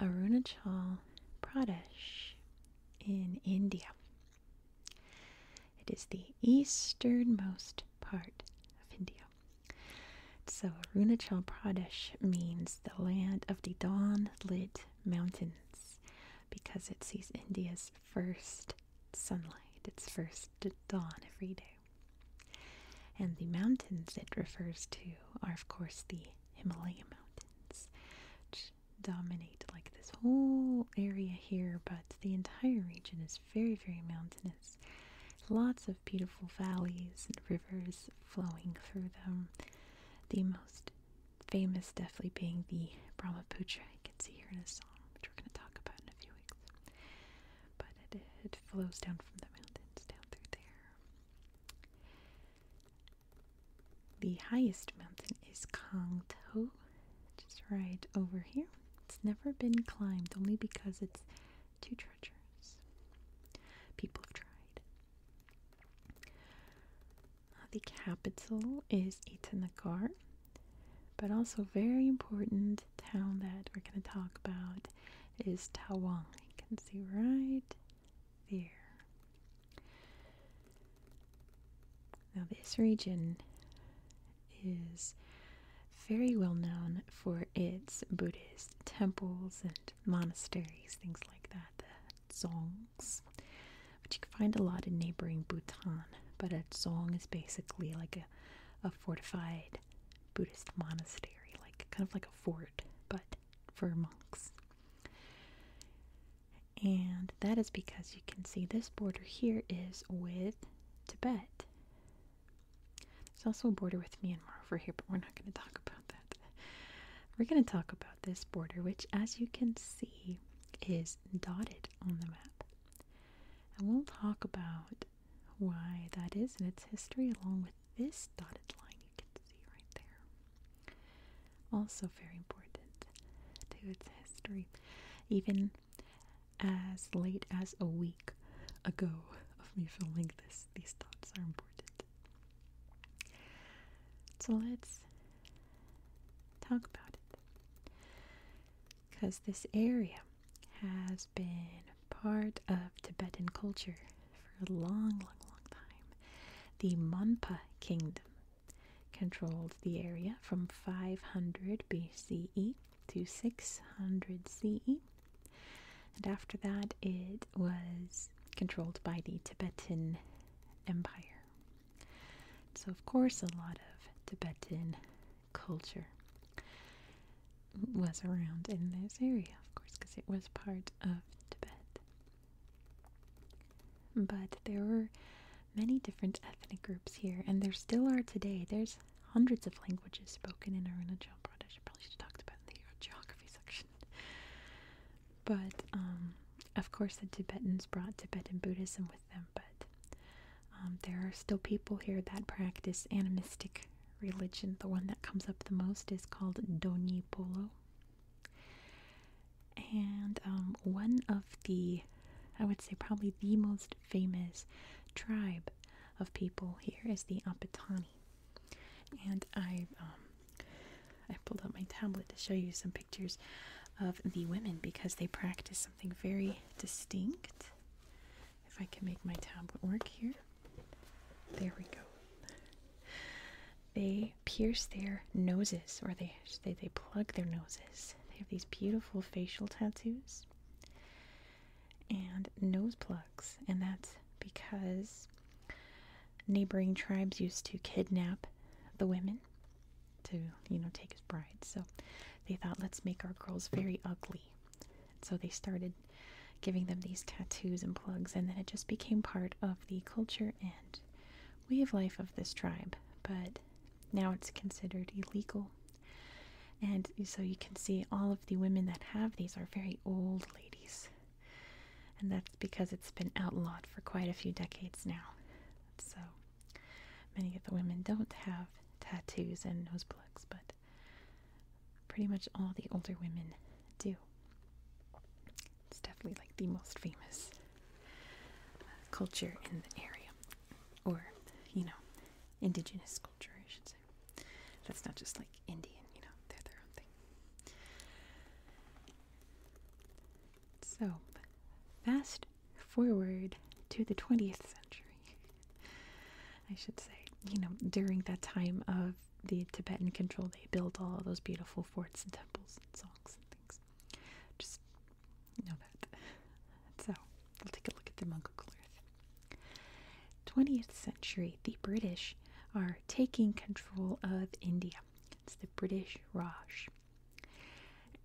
Arunachal Pradesh in India. It is the easternmost part of India. So Arunachal Pradesh means the land of the dawn-lit mountains because it sees India's first sunlight, its first dawn every day. And the mountains it refers to are, of course, the Himalaya Mountains dominate like this whole area here, but the entire region is very, very mountainous. Lots of beautiful valleys and rivers flowing through them. The most famous definitely being the Brahmaputra you can see here in a song, which we're going to talk about in a few weeks. But it flows down from the mountains down through there. The highest mountain is Kangto, just right over here. It's never been climbed only because it's too treacherous. People have tried. Uh, the capital is Itanagar, but also very important town that we're going to talk about is Tawang. You can see right there. Now, this region is very well known for its Buddhist temples and monasteries, things like that, the dzongs, which you can find a lot in neighboring Bhutan. But a dzong is basically like a, a fortified Buddhist monastery, like kind of like a fort, but for monks. And that is because you can see this border here is with Tibet. There's also a border with Myanmar over here, but we're not going to talk about that. We're going to talk about this border, which, as you can see, is dotted on the map. And we'll talk about why that is and its history along with this dotted line you can see right there. Also, very important to its history. Even as late as a week ago of me filming this, these thoughts are important. So, let's talk about it. Because this area has been part of Tibetan culture for a long, long, long time. The Monpa Kingdom controlled the area from 500 BCE to 600 CE. And after that, it was controlled by the Tibetan Empire. So, of course, a lot of Tibetan culture was around in this area, of course, because it was part of Tibet. But there were many different ethnic groups here, and there still are today. There's hundreds of languages spoken in Arunachal Pradesh. I probably should have talked about in the geography section. But um, of course, the Tibetans brought Tibetan Buddhism with them, but um, there are still people here that practice animistic religion. The one that comes up the most is called Doni Polo, and um, one of the, I would say, probably the most famous tribe of people here is the Apatani. And I, um, I pulled out my tablet to show you some pictures of the women because they practice something very distinct. If I can make my tablet work here, there we go. They pierce their noses, or they they, they plug their noses. They have these beautiful facial tattoos and nose plugs, and that's because neighboring tribes used to kidnap the women to, you know, take as brides. So they thought, let's make our girls very ugly. So they started giving them these tattoos and plugs, and then it just became part of the culture and way of life of this tribe, but now it's considered illegal. And so you can see all of the women that have these are very old ladies. And that's because it's been outlawed for quite a few decades now. So many of the women don't have tattoos and nose plugs, but pretty much all the older women do. It's definitely like the most famous uh, culture in the area, or you know, indigenous culture, I should say. That's not just like Indian, you know, they're their own thing. So, fast forward to the 20th century, I should say. You know, during that time of the Tibetan control, they built all those beautiful forts and temples and so just know that. So, we'll take a look at the Mongol-Clorth. 20th century, the British are taking control of India. It's the British Raj.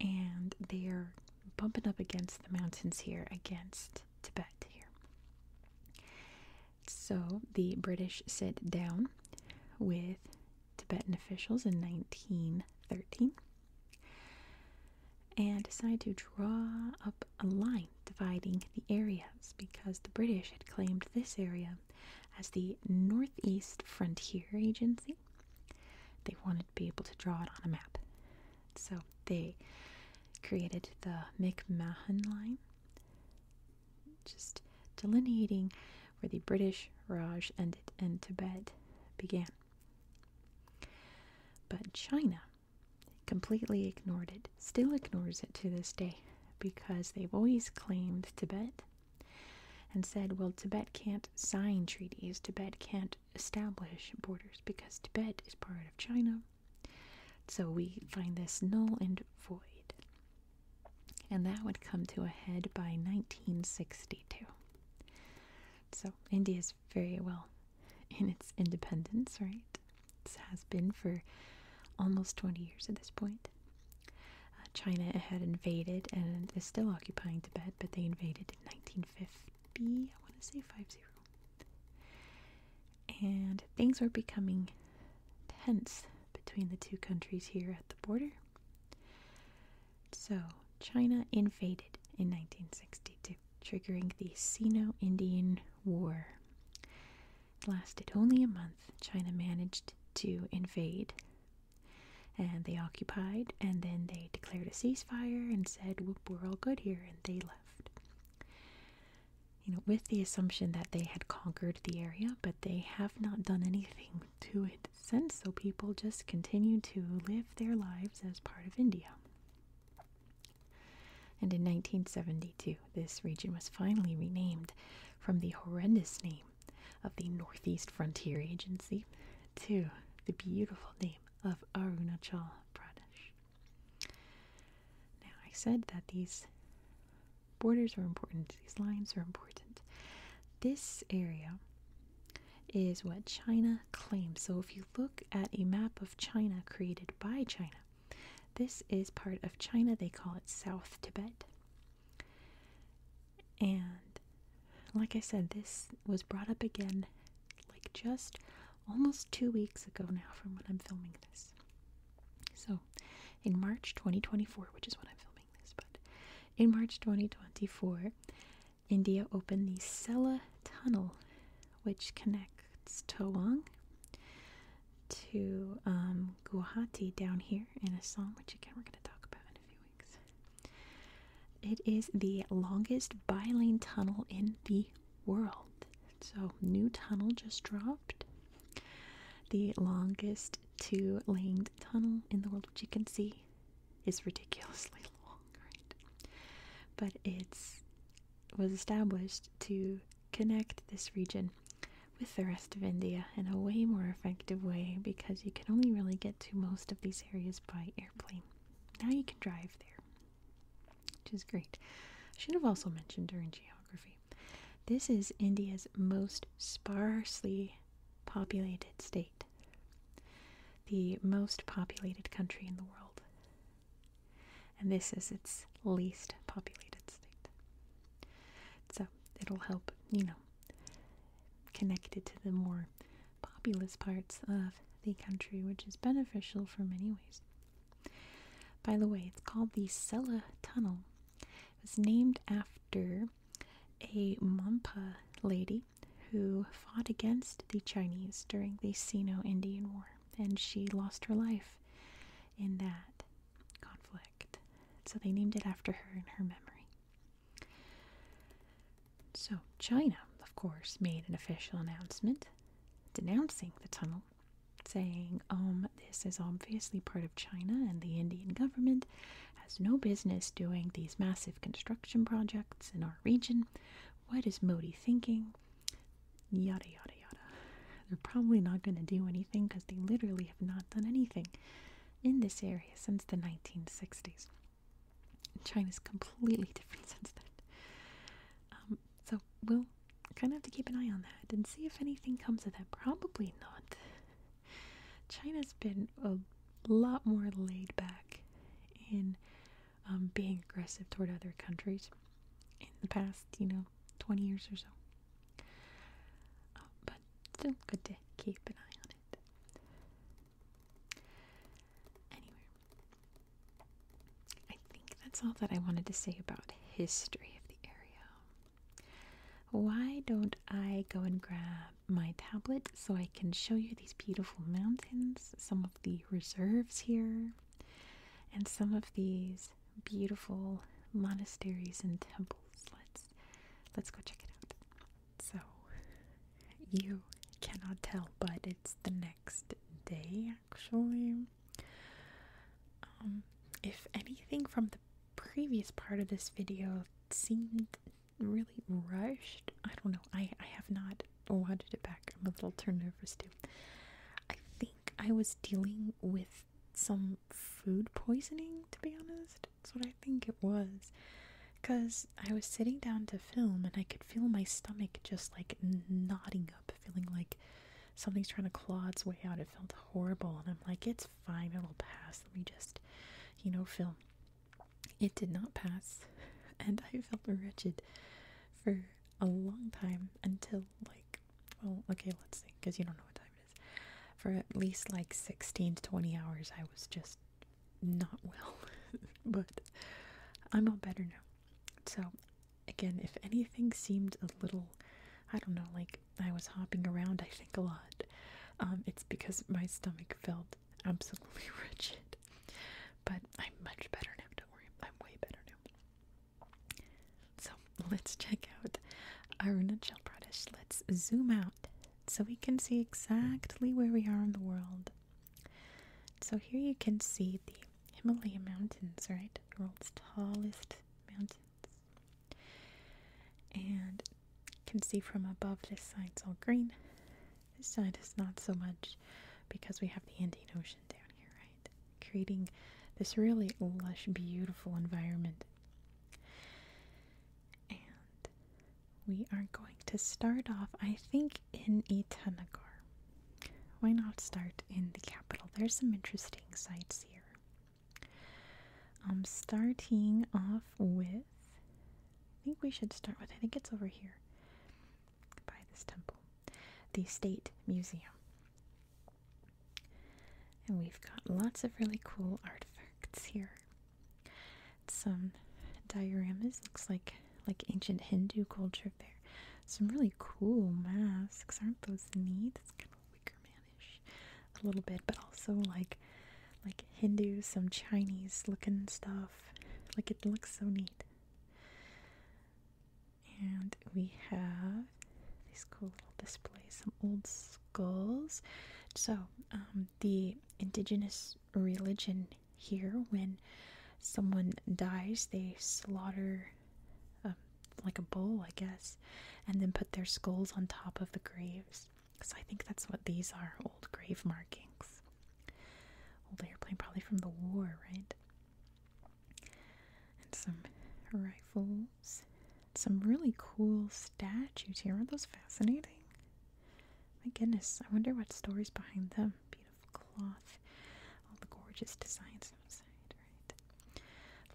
And they are bumping up against the mountains here, against Tibet here. So the British sit down with Tibetan officials in 1913 and decided to draw up a line dividing the areas because the British had claimed this area as the Northeast Frontier Agency. They wanted to be able to draw it on a map. So they created the McMahon Line just delineating where the British Raj ended and Tibet began. But China completely ignored it, still ignores it to this day, because they've always claimed Tibet and said, well, Tibet can't sign treaties, Tibet can't establish borders because Tibet is part of China. So we find this null and void and that would come to a head by 1962. So India is very well in its independence, right? This has been for almost 20 years at this point. Uh, China had invaded and is still occupying Tibet, but they invaded in 1950, I want to say 50. And things were becoming tense between the two countries here at the border. So, China invaded in 1962, triggering the Sino Indian War. It lasted only a month. China managed to invade. And they occupied, and then they declared a ceasefire and said, Whoop, we're all good here, and they left. You know, with the assumption that they had conquered the area, but they have not done anything to it since, so people just continue to live their lives as part of India. And in 1972, this region was finally renamed from the horrendous name of the Northeast Frontier Agency to the beautiful name of Arunachal Pradesh. Now, I said that these Borders are important, these lines are important. This area is what China claims. So if you look at a map of China created by China, this is part of China. They call it South Tibet. And like I said, this was brought up again like just almost two weeks ago now from when I'm filming this. So in March 2024, which is when I'm filming in March 2024, India opened the Sela Tunnel, which connects Tawang to um, Guwahati down here in Assam, which again we're going to talk about in a few weeks. It is the longest bi-lane tunnel in the world. So, new tunnel just dropped. The longest 2 Langed Tunnel in the world, which you can see is ridiculously long, right? But it's was established to connect this region with the rest of India in a way more effective way because you can only really get to most of these areas by airplane. Now you can drive there, which is great. I should have also mentioned during geography. This is India's most sparsely populated state, the most populated country in the world. And this is its least populated state. So it'll help, you know, connect it to the more populous parts of the country, which is beneficial for many ways. By the way, it's called the Sella Tunnel. It was named after a Mampa lady who fought against the Chinese during the Sino Indian War, and she lost her life in that conflict. So they named it after her in her memory. So China, of course, made an official announcement denouncing the tunnel, saying, um, this is obviously part of China and the Indian government has no business doing these massive construction projects in our region. What is Modi thinking? Yada, yada, yada. They're probably not going to do anything because they literally have not done anything in this area since the 1960s. China's completely different since then. Um, so we'll kind of have to keep an eye on that and see if anything comes of that. Probably not. China's been a lot more laid back in um, being aggressive toward other countries in the past, you know, 20 years or so. Uh, but still good to keep an eye on it. Anyway, I think that's all that I wanted to say about history of the area. Why don't I go and grab my tablet so I can show you these beautiful mountains, some of the reserves here, and some of these beautiful monasteries and temples. Let's let's go check it out. So you cannot tell, but it's the next day actually. Um, if anything from the previous part of this video seemed really rushed. I don't know. I, I have not watched it back. I'm a little turned over still. I think I was dealing with some food poisoning, to be honest. That's what I think it was. Because I was sitting down to film and I could feel my stomach just like knotting up, feeling like something's trying to claw its way out. It felt horrible. And I'm like, it's fine, it'll pass. Let me just, you know, film it did not pass, and I felt wretched for a long time until, like, well, okay, let's see, because you don't know what time it is. For at least like 16 to 20 hours, I was just not well, but I'm all better now. So, again, if anything seemed a little, I don't know, like I was hopping around, I think a lot, um, it's because my stomach felt absolutely rigid. But I'm much better now, don't worry. I'm way better now. So let's check out Arunachal Pradesh. Let's zoom out so we can see exactly where we are in the world. So here you can see the Himalaya mountains, right? The world's tallest mountains. And you can see from above this side's all green. This side is not so much because we have the Indian Ocean down here, right? Creating this really lush, beautiful environment. And we are going to start off, I think, in Itanagar. Why not start in the capital? There's some interesting sites here. Um, starting off with. I think we should start with, I think it's over here by this temple, the State Museum. And we've got lots of really cool artifacts here. Some dioramas, looks like like ancient Hindu culture there. Some really cool masks, aren't those neat? It's kind of Wicker Manish a little bit, but also like like Hindu, some Chinese looking stuff. Like it looks so neat. And we have these cool little displays, some old skulls. So, um, the indigenous religion here, when someone dies, they slaughter um, like a bull, I guess, and then put their skulls on top of the graves because I think that's what these are old grave markings. Old airplane, probably from the war, right? And some rifles. Some really cool statues here. Aren't those fascinating? My goodness, I wonder what stories behind them. Beautiful cloth, all the gorgeous designs outside, right?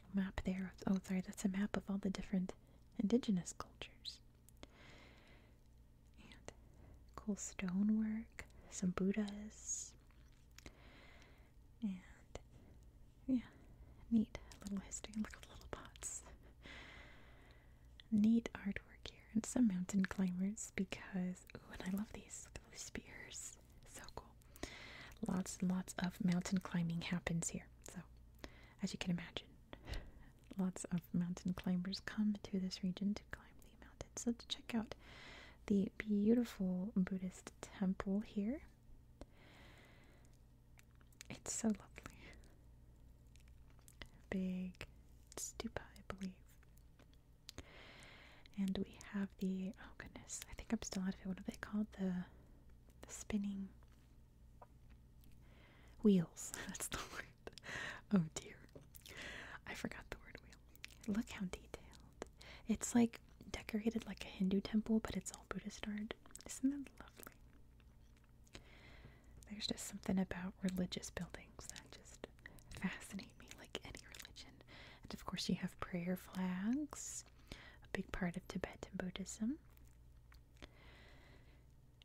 little map there. Oh, sorry, that's a map of all the different indigenous cultures cool stonework, some Buddhas, and yeah, neat little history. Look at the little pots. Neat artwork here, and some mountain climbers because ooh, and I love these. Look those spears, so cool. Lots and lots of mountain climbing happens here, so as you can imagine, lots of mountain climbers come to this region to climb the mountains. Let's check out the beautiful Buddhist temple here. It's so lovely. Big stupa, I believe. And we have the oh goodness, I think I'm still out of it. What are they called? The the spinning Wheels. That's the word. Oh dear. I forgot the word wheel. Look how detailed. It's like decorated like a Hindu temple, but it's all Buddhist art. Isn't that lovely? There's just something about religious buildings that just fascinate me, like any religion. And of course, you have prayer flags, a big part of Tibetan Buddhism.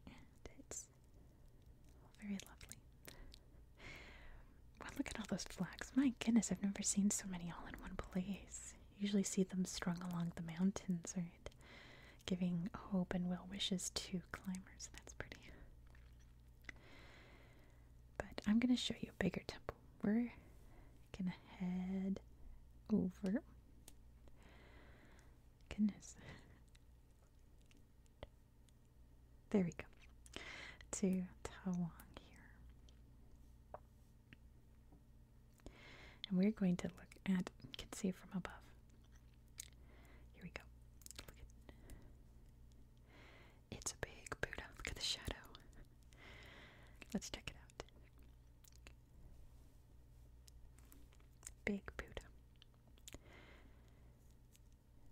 And Yes. Very lovely. Well, look at all those flags. My goodness, I've never seen so many all in one place. Usually see them strung along the mountains, right? Giving hope and well wishes to climbers. That's pretty. But I'm going to show you a bigger temple. We're going to head over. Goodness. There we go. To Taiwan here. And we're going to look at, you can see from above. Here we go. Look at, it's a big Buddha. Look at the shadow. Let's check it out. Big Buddha.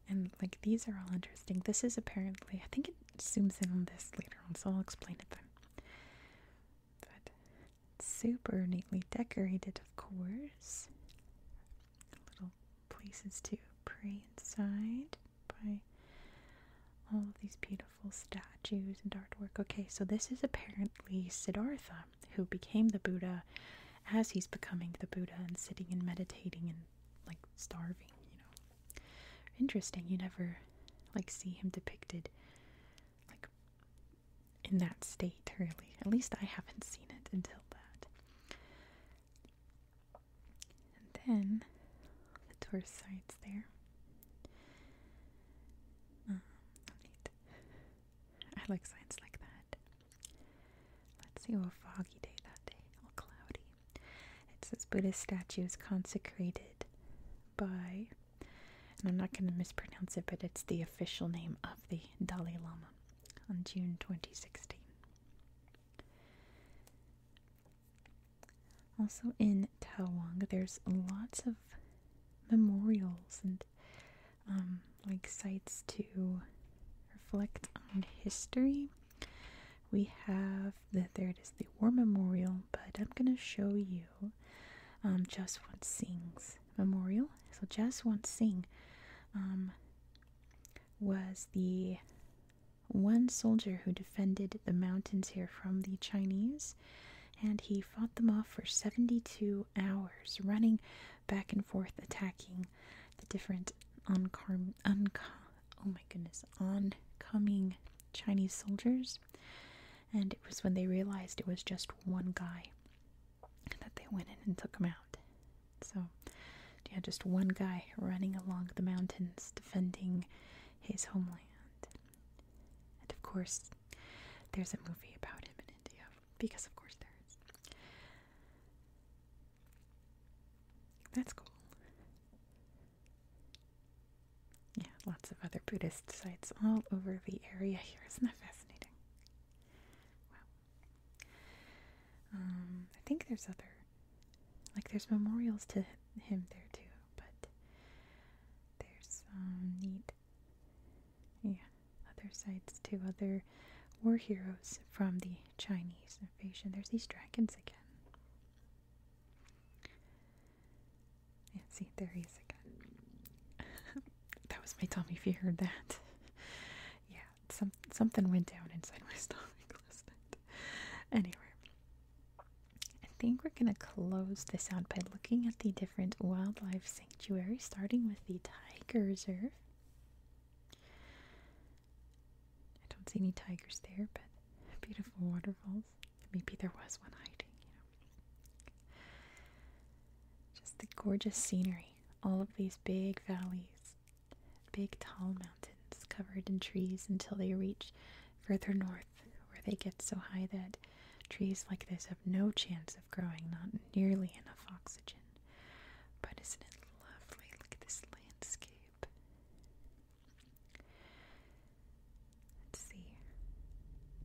And like these are all interesting. This is apparently I think it zooms in on this later on, so I'll explain it then. But super neatly decorated, of course. Little places to pray inside by all of these beautiful statues and artwork. Okay, so this is apparently Siddhartha who became the Buddha as he's becoming the Buddha and sitting and meditating and like starving, you know. Interesting, you never like see him depicted like in that state really. At least I haven't seen it until that. And then the tourist sites there. Um, I like signs like that. Let's see, a oh, foggy day that day, all cloudy. It says Buddhist statue is consecrated by, and I'm not going to mispronounce it, but it's the official name of the Dalai Lama on June 2016. Also in Tawang, there's lots of memorials and um, like sites to reflect on history. We have the there it is the War Memorial, but I'm gonna show you um, Jaswant Sing's memorial. So Jaswant Singh um, was the one soldier who defended the mountains here from the Chinese, and he fought them off for 72 hours, running back and forth attacking the different oncom oh my goodness oncoming Chinese soldiers. And it was when they realized it was just one guy that they went in and took him out. So, yeah, just one guy running along the mountains defending his homeland. And of course, there's a movie about him in India, because of course there is. That's cool. Yeah, lots of other Buddhist sites all over the area here. Isn't that fascinating? Wow. Um, I think there's other, like there's memorials to him there too, but there's um, neat yeah, other sites too, other war heroes from the Chinese invasion. There's these dragons again. Yeah, see, there he is again. that was my tummy if you heard that. yeah, some, something went down inside my stomach Anyway, I think we're going to close this out by looking at the different wildlife sanctuary, starting with the Tiger Reserve. I don't see any tigers there, but beautiful waterfalls. Maybe there was one hiding, you know. Just the gorgeous scenery. All of these big valleys, big tall mountains covered in trees until they reach further north, where they get so high that trees like this no chance of growing, not nearly enough oxygen. But isn't it lovely? Look at this landscape. Let's see.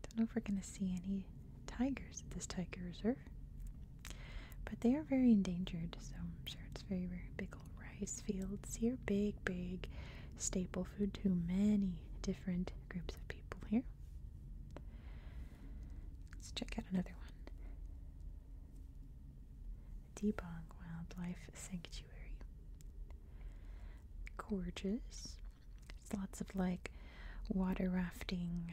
Don't know if we're going to see any tigers at this tiger reserve. But they are very endangered, so I'm sure it's very, very big old rice fields here. Big, big staple food to many different groups of people here. Let's check out another one. Debong Wildlife Sanctuary. Gorgeous. It's lots of like water rafting,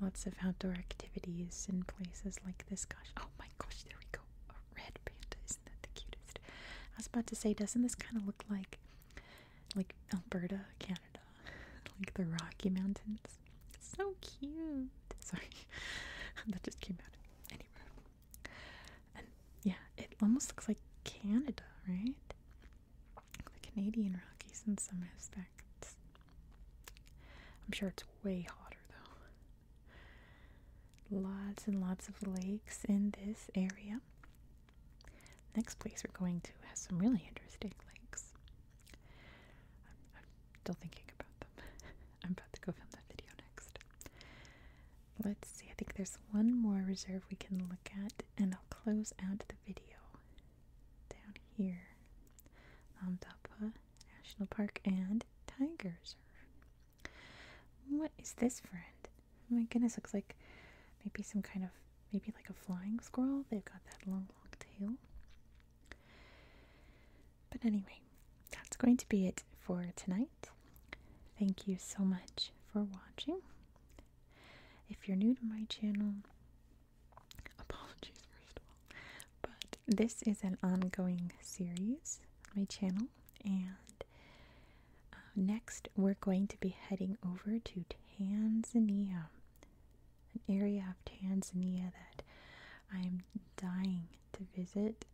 lots of outdoor activities in places like this. Gosh, oh my gosh, there we go. A red panda. Isn't that the cutest? I was about to say, doesn't this kind of look like like Alberta, Canada? like the Rocky Mountains. so cute. Sorry, that just came out. Anyway, yeah, it almost looks like Canada, right? The Canadian Rockies in some respects. I'm sure it's way hotter though. Lots and lots of lakes in this area. Next place we're going to has some really interesting lakes. I'm, still thinking about them. I'm about to go film that video next. Let's see, I think there's one more reserve we can look at, and I'll close out the video down here. Namdapa um, National Park and tigers. What is this, friend? Oh my goodness, looks like maybe some kind of maybe like a flying squirrel. They've got that long, long tail. But anyway, that's going to be it for tonight. Thank you so much for watching. If you're new to my channel, apologies first of all, but this is an ongoing series on my channel, and uh, next we're going to be heading over to Tanzania an area of Tanzania that I am dying to visit.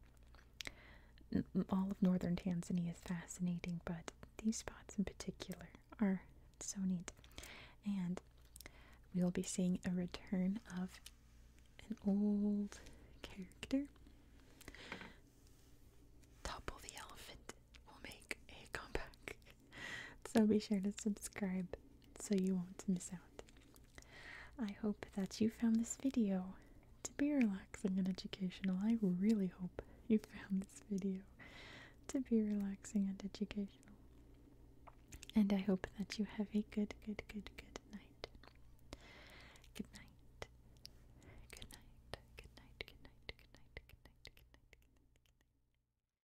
All of northern Tanzania is fascinating, but these spots in particular are so neat. And we'll be seeing a return of an old character. Topple the elephant will make a comeback. so be sure to subscribe so you won't miss out. I hope that you found this video to be relaxing and educational. I really hope you found this video to be relaxing and educational. And I hope that you have a good, good, good, good night. Good night. Good night. Good night. Good night. Good night. Good night. Good night.